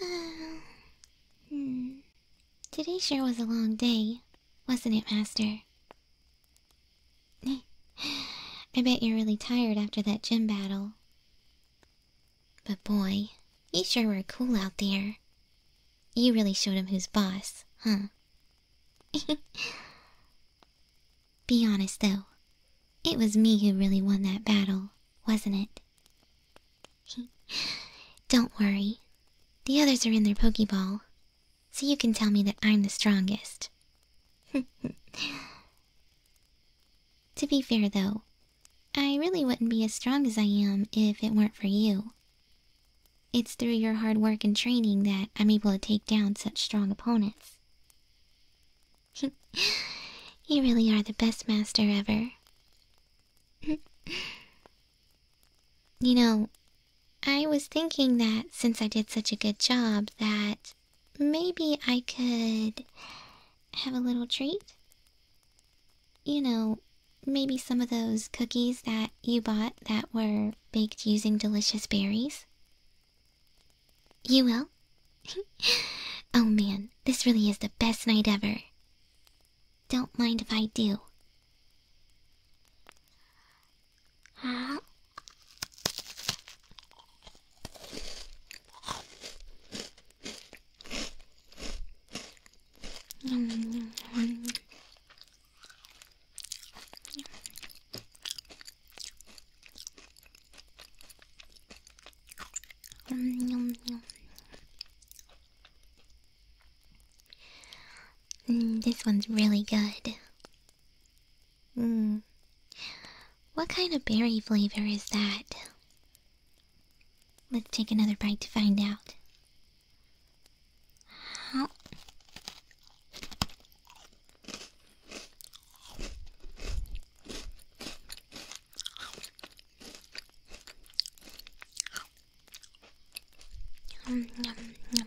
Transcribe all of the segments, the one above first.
Hmm. Today sure was a long day, wasn't it, Master? I bet you're really tired after that gym battle. But boy, you sure were cool out there. You really showed him who's boss, huh? Be honest, though. It was me who really won that battle, wasn't it? Don't worry. The others are in their Pokeball, so you can tell me that I'm the strongest. to be fair, though, I really wouldn't be as strong as I am if it weren't for you. It's through your hard work and training that I'm able to take down such strong opponents. you really are the best master ever. you know, I was thinking that since I did such a good job that maybe I could have a little treat. You know, maybe some of those cookies that you bought that were baked using delicious berries. You will? oh man, this really is the best night ever. Don't mind if I do. Huh? Yum, mm, yum, yum. this one's really good. Mm. What kind of berry flavor is that? Let's take another bite to find out. Yum, yum, yum.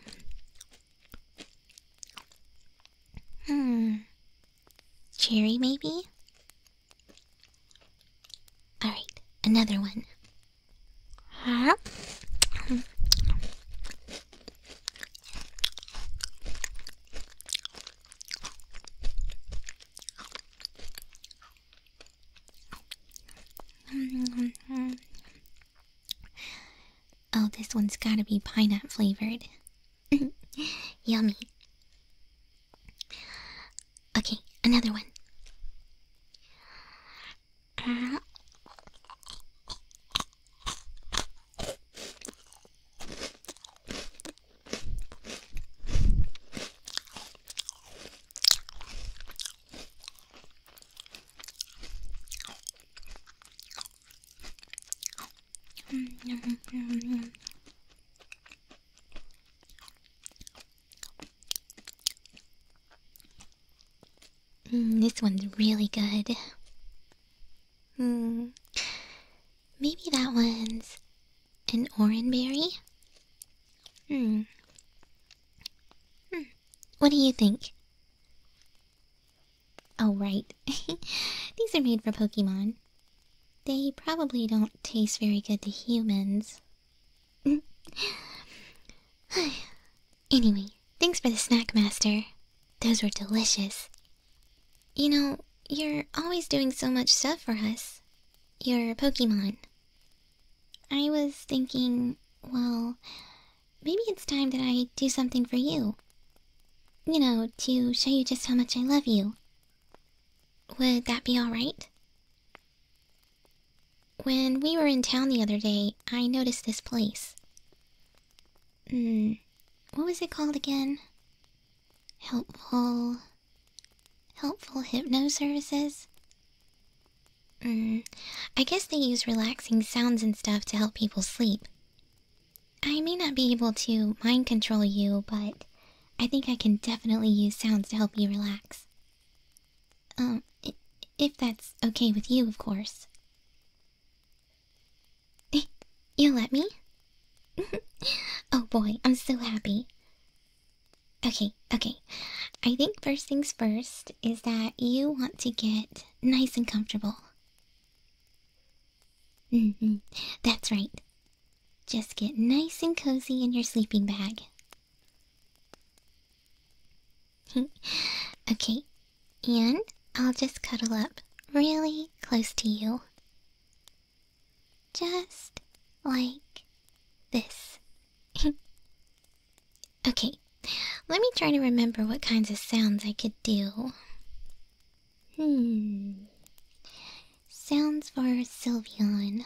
Hmm. Cherry, maybe? Alright, another one. Huh? oh, this one's gotta be pineapple flavored. Yummy. Okay, another one. Uh, Mm, this one's really good. Mm. Maybe that one's an oranberry? Hmm. Hmm. What do you think? Oh, right. These are made for Pokemon. They probably don't taste very good to humans. anyway, thanks for the snack, Master. Those were delicious. You know, you're always doing so much stuff for us. You're a Pokemon. I was thinking, well, maybe it's time that I do something for you. You know, to show you just how much I love you. Would that be alright? When we were in town the other day, I noticed this place. Hmm. what was it called again? Helpful. Helpful hypno services? Hmm. I guess they use relaxing sounds and stuff to help people sleep. I may not be able to mind control you, but I think I can definitely use sounds to help you relax. Um, if that's okay with you, of course you let me? oh boy, I'm so happy. Okay, okay. I think first things first is that you want to get nice and comfortable. Mm-hmm, that's right. Just get nice and cozy in your sleeping bag. okay, and I'll just cuddle up really close to you. Just like this. okay, let me try to remember what kinds of sounds I could do. Hmm. Sounds for Sylvian.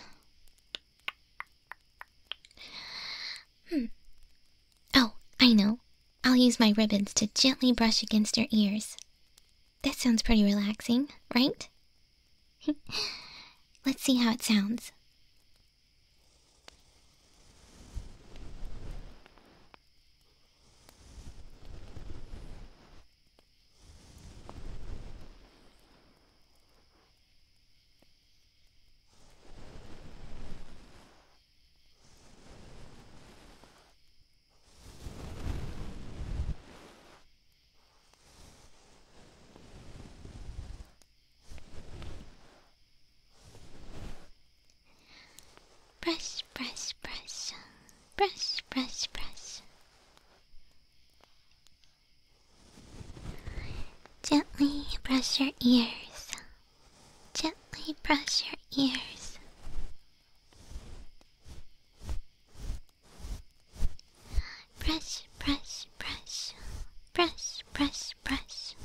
Hmm. Oh, I know. I'll use my ribbons to gently brush against her ears. That sounds pretty relaxing, right? Let's see how it sounds. Brush, brush, brush, brush, brush, brush. Gently brush your ears. Gently brush your ears. Press, press, press, press, press, press.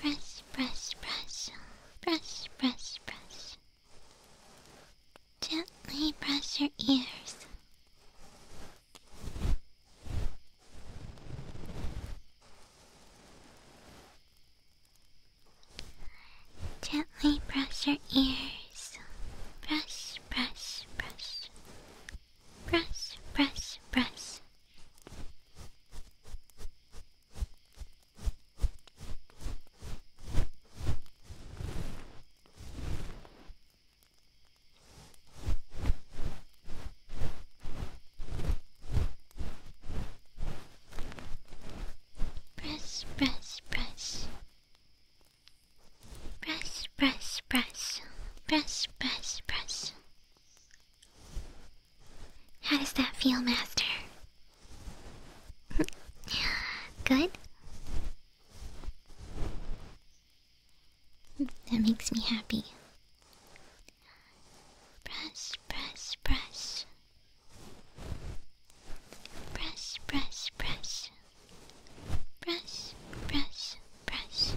Brush, brush, brush, brush, brush, brush. Gently press your ears. Gently brush your ears. Brush, brush, brush. Brush, brush, brush. Press, press, press. Press, press, press. Press, press, press. How does that feel, Master? Good? That makes me happy. Brush, brush, brush. Brush, brush, brush. Brush, brush, brush.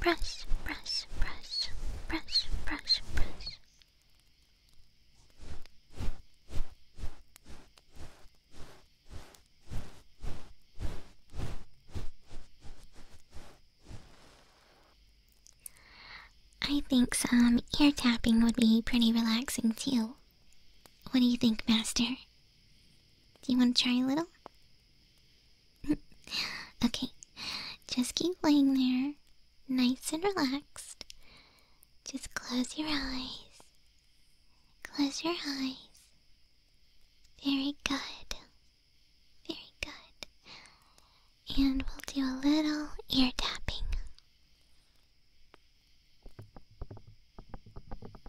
Press, press, press, press, press, press. I think some ear tapping would be pretty relaxing too. What do you think, Master? Do you want to try a little? okay, just keep laying there, nice and relaxed. Just close your eyes. Close your eyes. Very good. Very good. And we'll do a little ear tapping.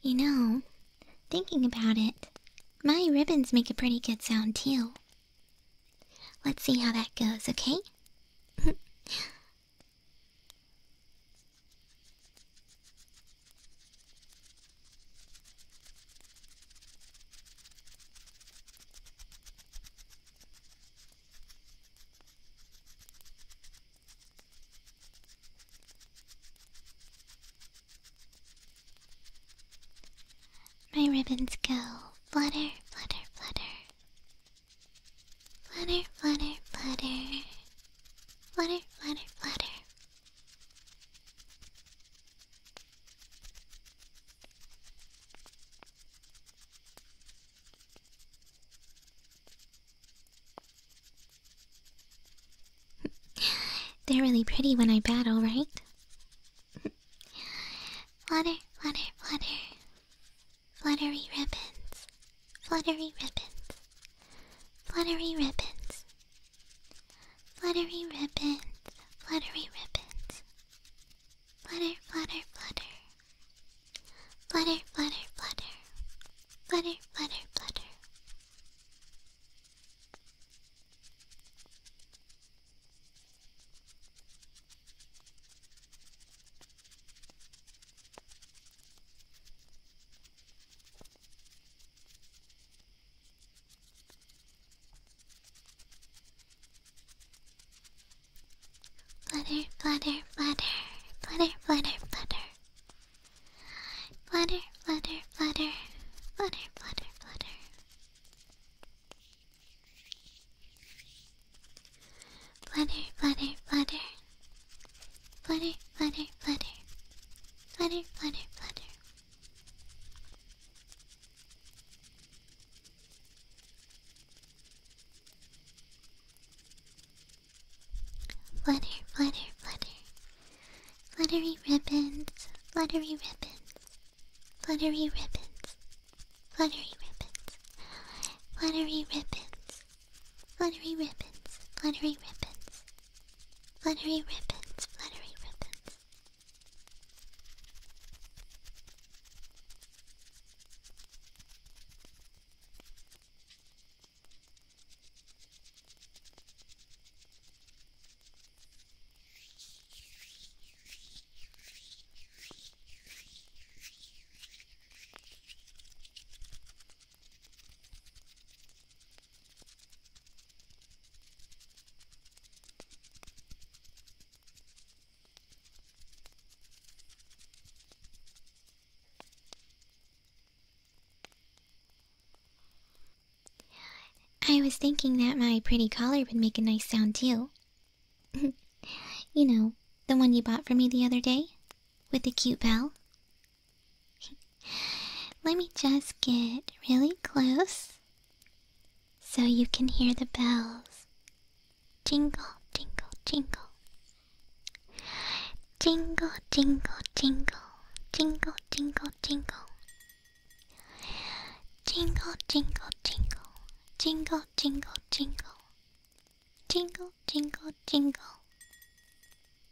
You know, thinking about it, my ribbons make a pretty good sound too. Let's see how that goes, okay? My ribbons go flutter, flutter, flutter. Flutter, flutter, flutter. Flutter, flutter, flutter. They're really pretty when I battle, right? flutter, flutter, flutter. Fluttery ribbons. Fluttery ribbons. Fluttery ribbons. Fluttery ribbons, fluttery ribbons. Flutter, flutter, flutter. Flutter, flutter, flutter. Flutter, flutter, flutter. Flutter, flutter, flutter, flutter, flutter, flutter. Flutter, flutter, flutter, flutter, flutter, flutter. Flutter, flutter, flutter. Flutter, flutter, flutter. Flutter, flutter, flutter. Fluttery ribbons, fluttery ribbons, fluttery ribbons, fluttery ribbons, fluttery ribbons, fluttery ribbons, fluttery ribbons, Fluttery ribbons, fluttery ribbons. I was thinking that my pretty collar would make a nice sound too. you know, the one you bought for me the other day? With the cute bell? Let me just get really close so you can hear the bells. Jingle, jingle, jingle. Jingle, jingle, jingle. Jingle, jingle, jingle. Jingle, jingle, jingle. Jingle, jingle, jingle. Jingle, jingle, jingle.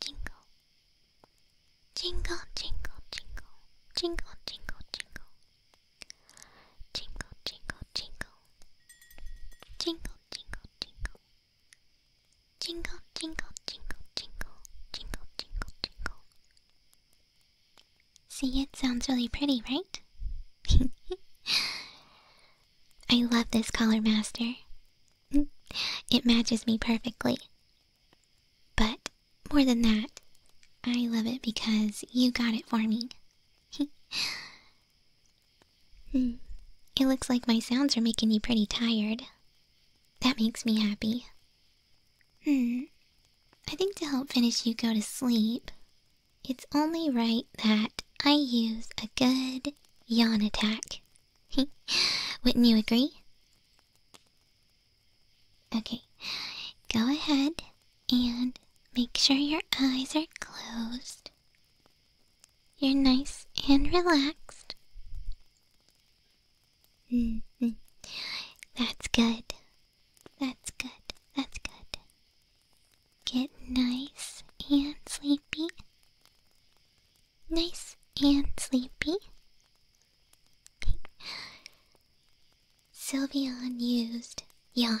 jingle. Jingle, jingle, jingle. Jingle, jingle, jingle. Jingle, jingle, jingle. Jingle, jingle, jingle. Jingle, jingle, jingle, jingle. Jingle, jingle, jingle. See, it sounds really pretty, right? I love this color master. It matches me perfectly. But more than that, I love it because you got it for me. It looks like my sounds are making you pretty tired. That makes me happy. Hmm. I think to help finish you go to sleep, it's only right that I use a good yawn attack. Wouldn't you agree? Okay, go ahead and make sure your eyes are closed. You're nice and relaxed. Mm-hmm. That's good. That's good. That's good. Get nice and sleepy nice and sleepy. Sylvia used yawn.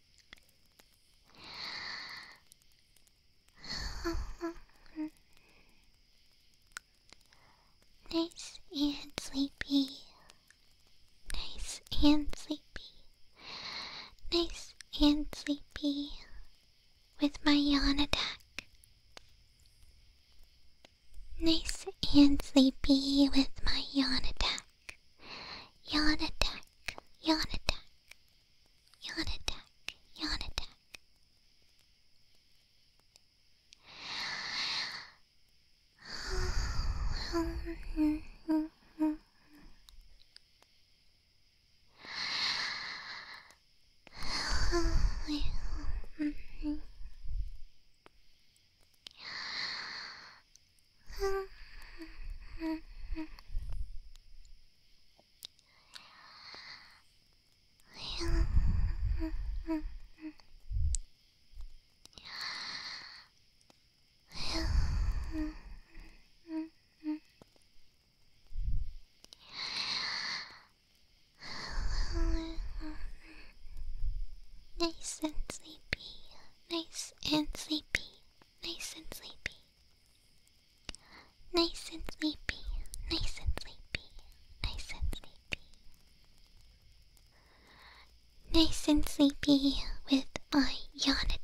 nice and sleepy. Nice and sleepy. Nice and sleepy with my yawn attack. Nice and sleepy with my yawn attack. attack, yawn attack, yawn attack, yawn attack, yawn attack. Nice and sleepy nice and sleepy, nice and sleepy. Nice and sleepy, nice and sleepy, nice and sleepy. Nice and sleepy with my yawn attack.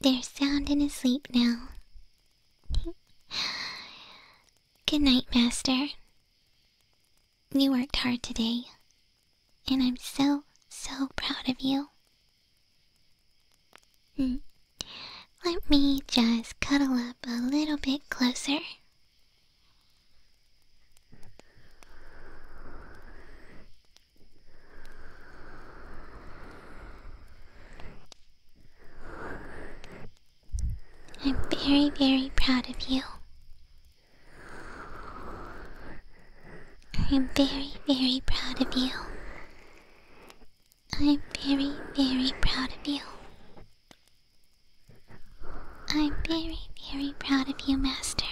They're sound and asleep now. Good night, Master. You worked hard today, and I'm so, so proud of you. Hmm. Let me just cuddle up a little bit closer. I'm very, very proud of you. I'm very, very proud of you. I'm very, very proud of you. I'm very, very proud of you, Master.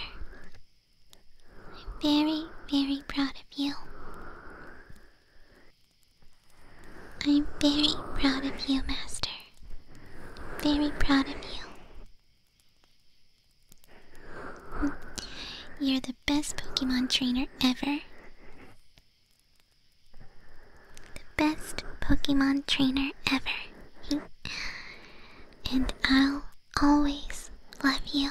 I'm very, very proud of you. I'm very proud of you, Master. Very proud of you. You're the best Pokemon trainer ever. The best Pokemon trainer ever. and I'll always love you.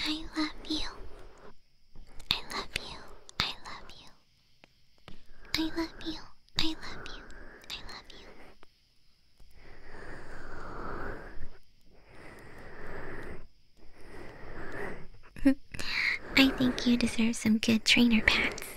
I love you. I love you. I love you. I love you. I love you. I love you. I think you deserve some good trainer pats.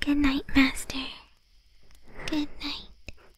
Good night, Master. Good night.